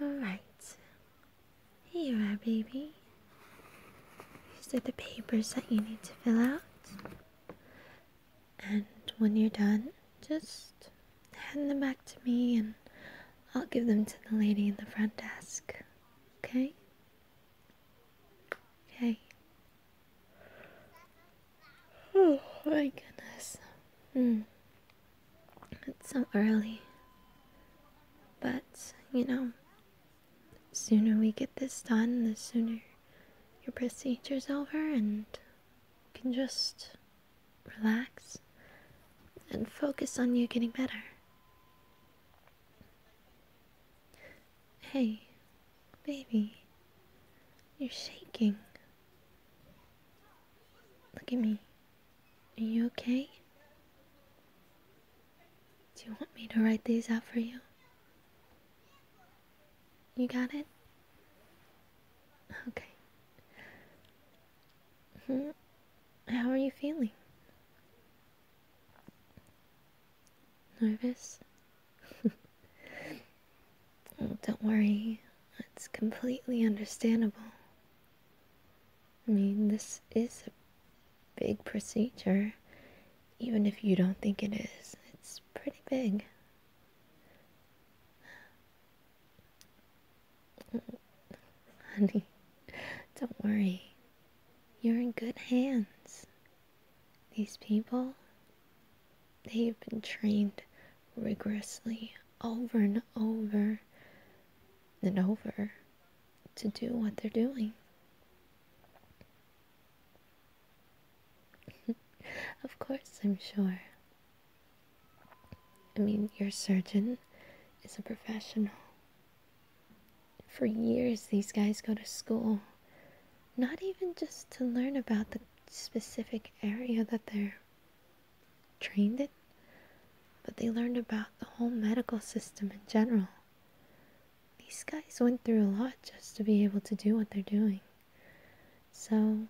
Alright. Here you are, baby. These are the papers that you need to fill out. And when you're done, just hand them back to me and I'll give them to the lady in the front desk. Okay? Okay. Oh my goodness. Hmm. It's so early. But, you know, sooner we get this done, the sooner your procedure's over and you can just relax and focus on you getting better. Hey, Baby, you're shaking. Look at me. Are you okay? Do you want me to write these out for you? You got it? Okay. Hmm, how are you feeling? Nervous? Oh, don't worry, it's completely understandable. I mean, this is a big procedure, even if you don't think it is. It's pretty big. Honey, don't worry. You're in good hands. These people, they've been trained rigorously over and over and over to do what they're doing. of course, I'm sure. I mean, your surgeon is a professional. For years, these guys go to school not even just to learn about the specific area that they're trained in, but they learned about the whole medical system in general. These guys went through a lot just to be able to do what they're doing. So,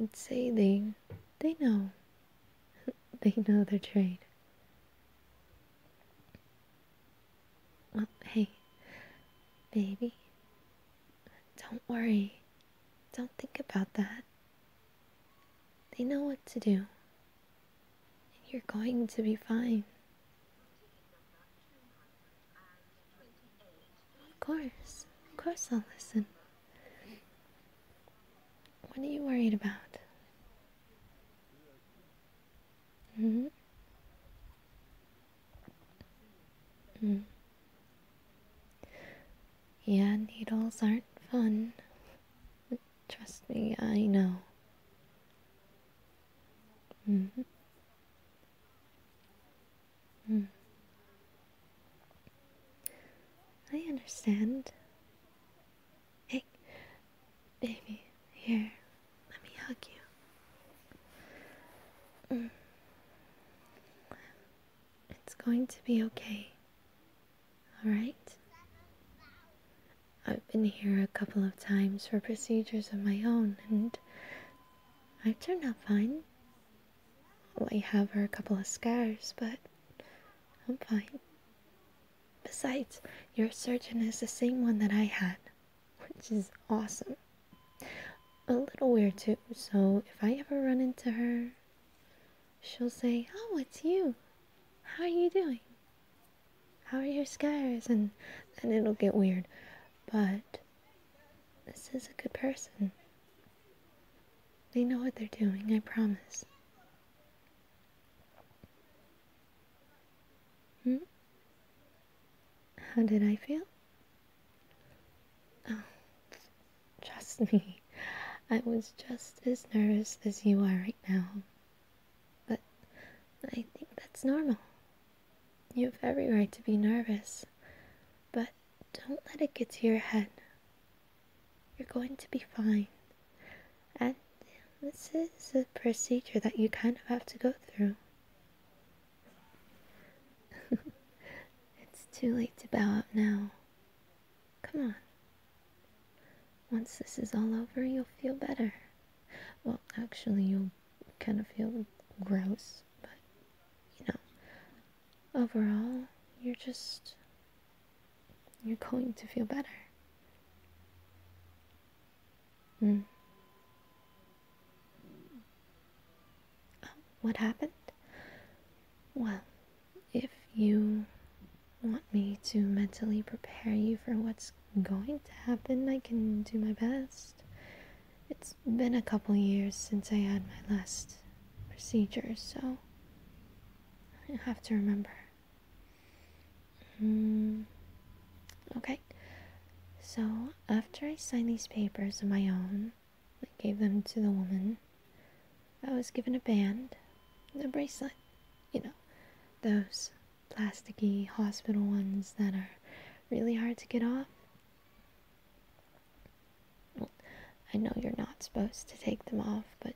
let's say they, they know, they know their trade. Well, uh, hey, baby, don't worry. Don't think about that. They know what to do. You're going to be fine. Of course, of course I'll listen. What are you worried about? Mm-hmm. Mm. Yeah, needles aren't fun. Trust me, I know. Mm-hmm. mm-hmm. I understand. Hey, baby, here, let me hug you. Mm. It's going to be okay, alright? I've been here a couple of times for procedures of my own, and I turned out fine. All I have are a couple of scars, but I'm fine. Besides, your surgeon is the same one that I had, which is awesome. A little weird too, so if I ever run into her, she'll say, Oh, it's you. How are you doing? How are your scars? And then it'll get weird. But this is a good person. They know what they're doing, I promise. Hmm? How did I feel? Oh, trust me, I was just as nervous as you are right now. But I think that's normal. You have every right to be nervous, but don't let it get to your head. You're going to be fine. And this is a procedure that you kind of have to go through. it's too late to bow out now. Come on. Once this is all over, you'll feel better. Well, actually, you'll kind of feel gross, but you know, overall, you're just you're going to feel better. Mm. what happened? Well, if you want me to mentally prepare you for what's going to happen, I can do my best. It's been a couple years since I had my last procedure, so I have to remember. Mm, okay. So after I signed these papers of my own, I gave them to the woman. I was given a band, a bracelet, you know, those plasticky hospital ones that are really hard to get off. I know you're not supposed to take them off, but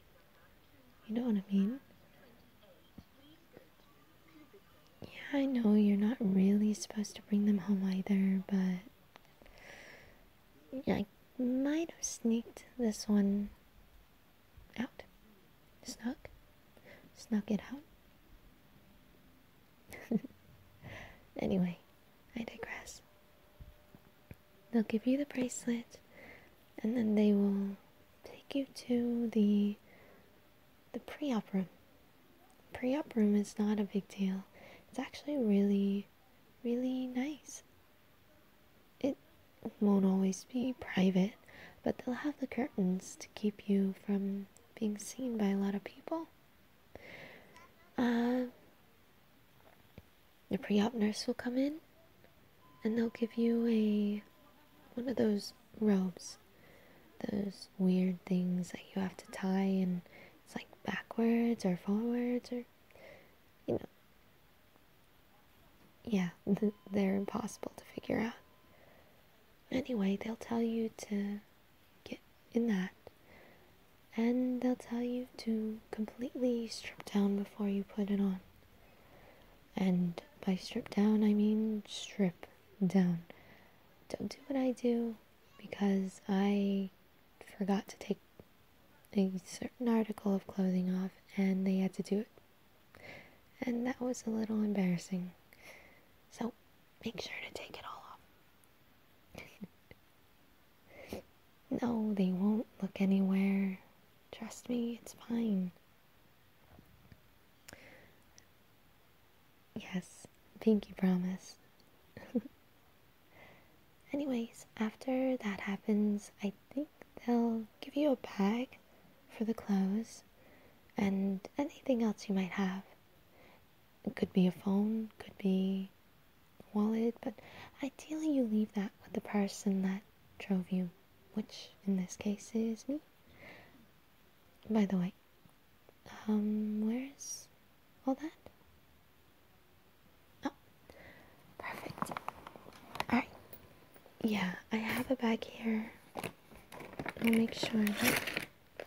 you know what I mean? Yeah, I know you're not really supposed to bring them home either, but I might have sneaked this one out. Snuck. Snuck it out. anyway, I digress they'll give you the bracelet and then they will take you to the the pre-op room pre-op room is not a big deal it's actually really really nice it won't always be private but they'll have the curtains to keep you from being seen by a lot of people uh, the pre-op nurse will come in and they'll give you a one of those robes. Those weird things that you have to tie and it's like backwards or forwards or you know. Yeah, they're impossible to figure out. Anyway, they'll tell you to get in that and they'll tell you to completely strip down before you put it on. And by strip down, I mean strip down. Don't do what I do because I forgot to take a certain article of clothing off and they had to do it. And that was a little embarrassing. So make sure to take it all off. No, they won't look anywhere. Trust me, it's fine. Yes, Pinky promise. Anyways, after that happens, I think they'll give you a bag for the clothes and anything else you might have. It could be a phone, could be a wallet, but ideally you leave that with the person that drove you, which in this case is me. By the way, um, where is all that? Oh, perfect. Alright. Yeah, I have a bag here. I'll make sure that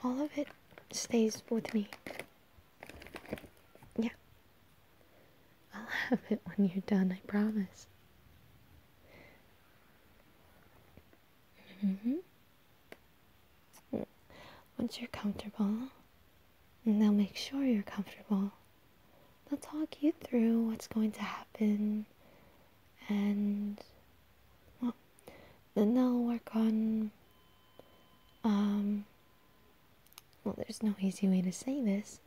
all of it stays with me. Yeah. I'll have it when you're done, I promise. Mm-hmm. Once you're comfortable, and they'll make sure you're comfortable, they'll talk you through what's going to happen, and well, then they'll work on um, well, there's no easy way to say this,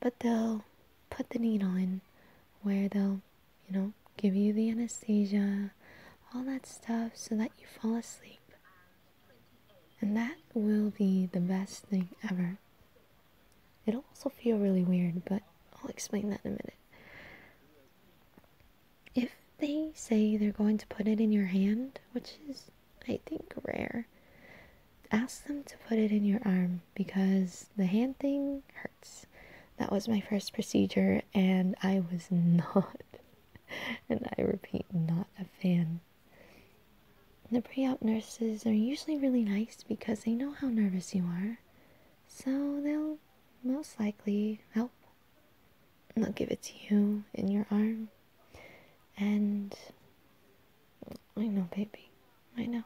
but they'll put the needle in where they'll, you know, give you the anesthesia, all that stuff, so that you fall asleep. And that will be the best thing ever. It'll also feel really weird, but I'll explain that in a minute if they say they're going to put it in your hand, which is, I think, rare, ask them to put it in your arm because the hand thing hurts. That was my first procedure, and I was not, and I repeat, not a fan. The pre op nurses are usually really nice because they know how nervous you are, so they'll most likely help. I'll give it to you in your arm. And I know, baby, I know.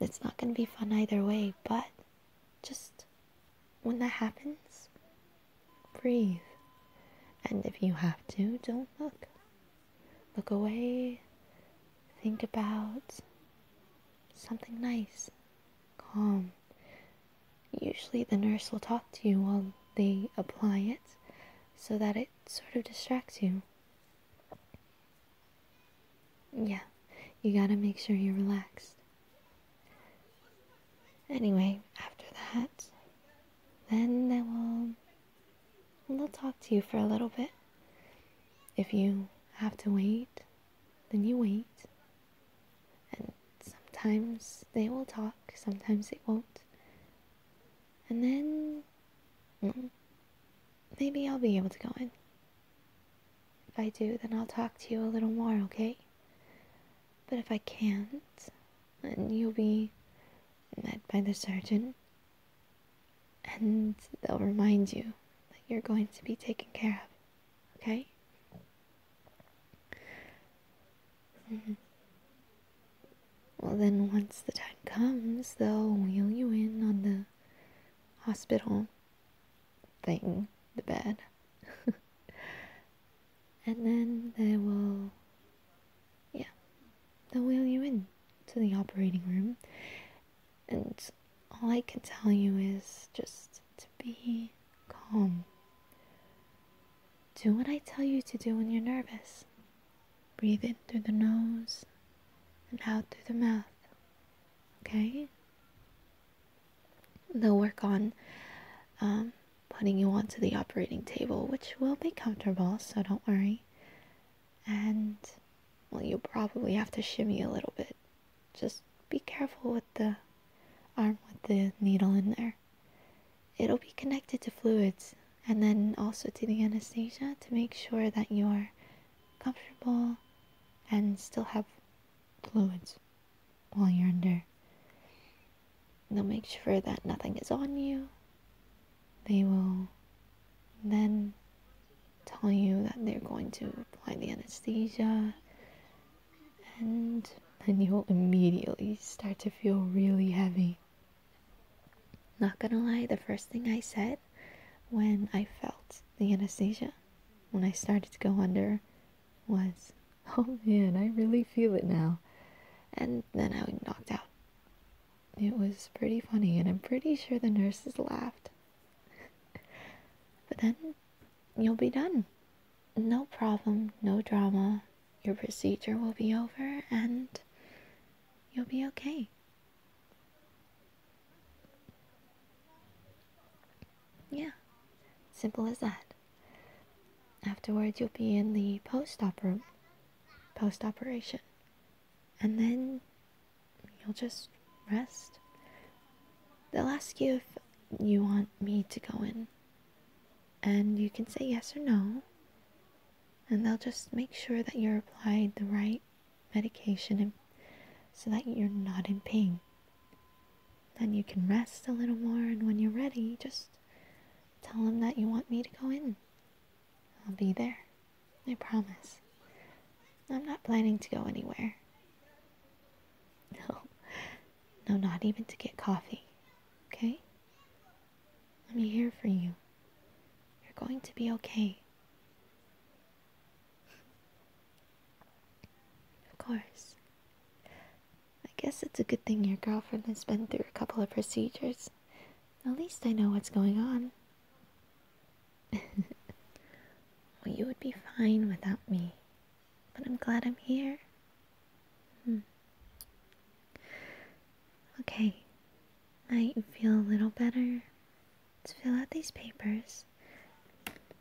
It's not gonna be fun either way, but just when that happens, breathe. And if you have to, don't look. Look away. Think about something nice, calm, Usually, the nurse will talk to you while they apply it so that it sort of distracts you. Yeah, you gotta make sure you're relaxed. Anyway, after that, then they will. They'll talk to you for a little bit. If you have to wait, then you wait. And sometimes they will talk, sometimes they won't. And then maybe I'll be able to go in. If I do, then I'll talk to you a little more, okay? But if I can't, then you'll be met by the surgeon. And they'll remind you that you're going to be taken care of. Okay? Mm-hmm. Well, then, once the time comes, they'll wheel you in on the hospital thing, the bed. and then they will, yeah, they'll wheel you in to the operating room. And all I can tell you is just to be calm. Do what I tell you to do when you're nervous. Breathe in through the nose and out through the mouth. Okay? They'll work on um, putting you onto the operating table, which will be comfortable, so don't worry. And well, you probably have to shimmy a little bit. Just be careful with the arm with the needle in there. It'll be connected to fluids and then also to the anesthesia to make sure that you're comfortable and still have fluids while you're under. They'll make sure that nothing is on you. They will then telling you that they're going to apply the anesthesia, and then you'll immediately start to feel really heavy. Not gonna lie, the first thing I said when I felt the anesthesia, when I started to go under, was, Oh man, I really feel it now. And then I was knocked out. It was pretty funny, and I'm pretty sure the nurses laughed but then you'll be done. No problem, no drama. Your procedure will be over and you'll be okay. Yeah, simple as that. Afterwards, you'll be in the post op room, post operation, and then you'll just rest. They'll ask you if you want me to go in, and you can say yes or no, and they'll just make sure that you're applied the right medication so that you're not in pain. Then you can rest a little more, and when you're ready, just tell them that you want me to go in I'll be there. I promise. I'm not planning to go anywhere. No. No, not even to get coffee. Okay? Let me hear for you. You're going to be okay. Of course. I guess it's a good thing your girlfriend has been through a couple of procedures. At least I know what's going on. well, you would be fine without me, but I'm glad I'm here. Hmm. Okay, I feel a little better. Let's fill out these papers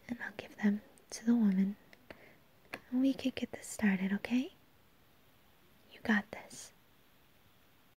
and I'll give them to the woman. we could get this started, okay? You got this.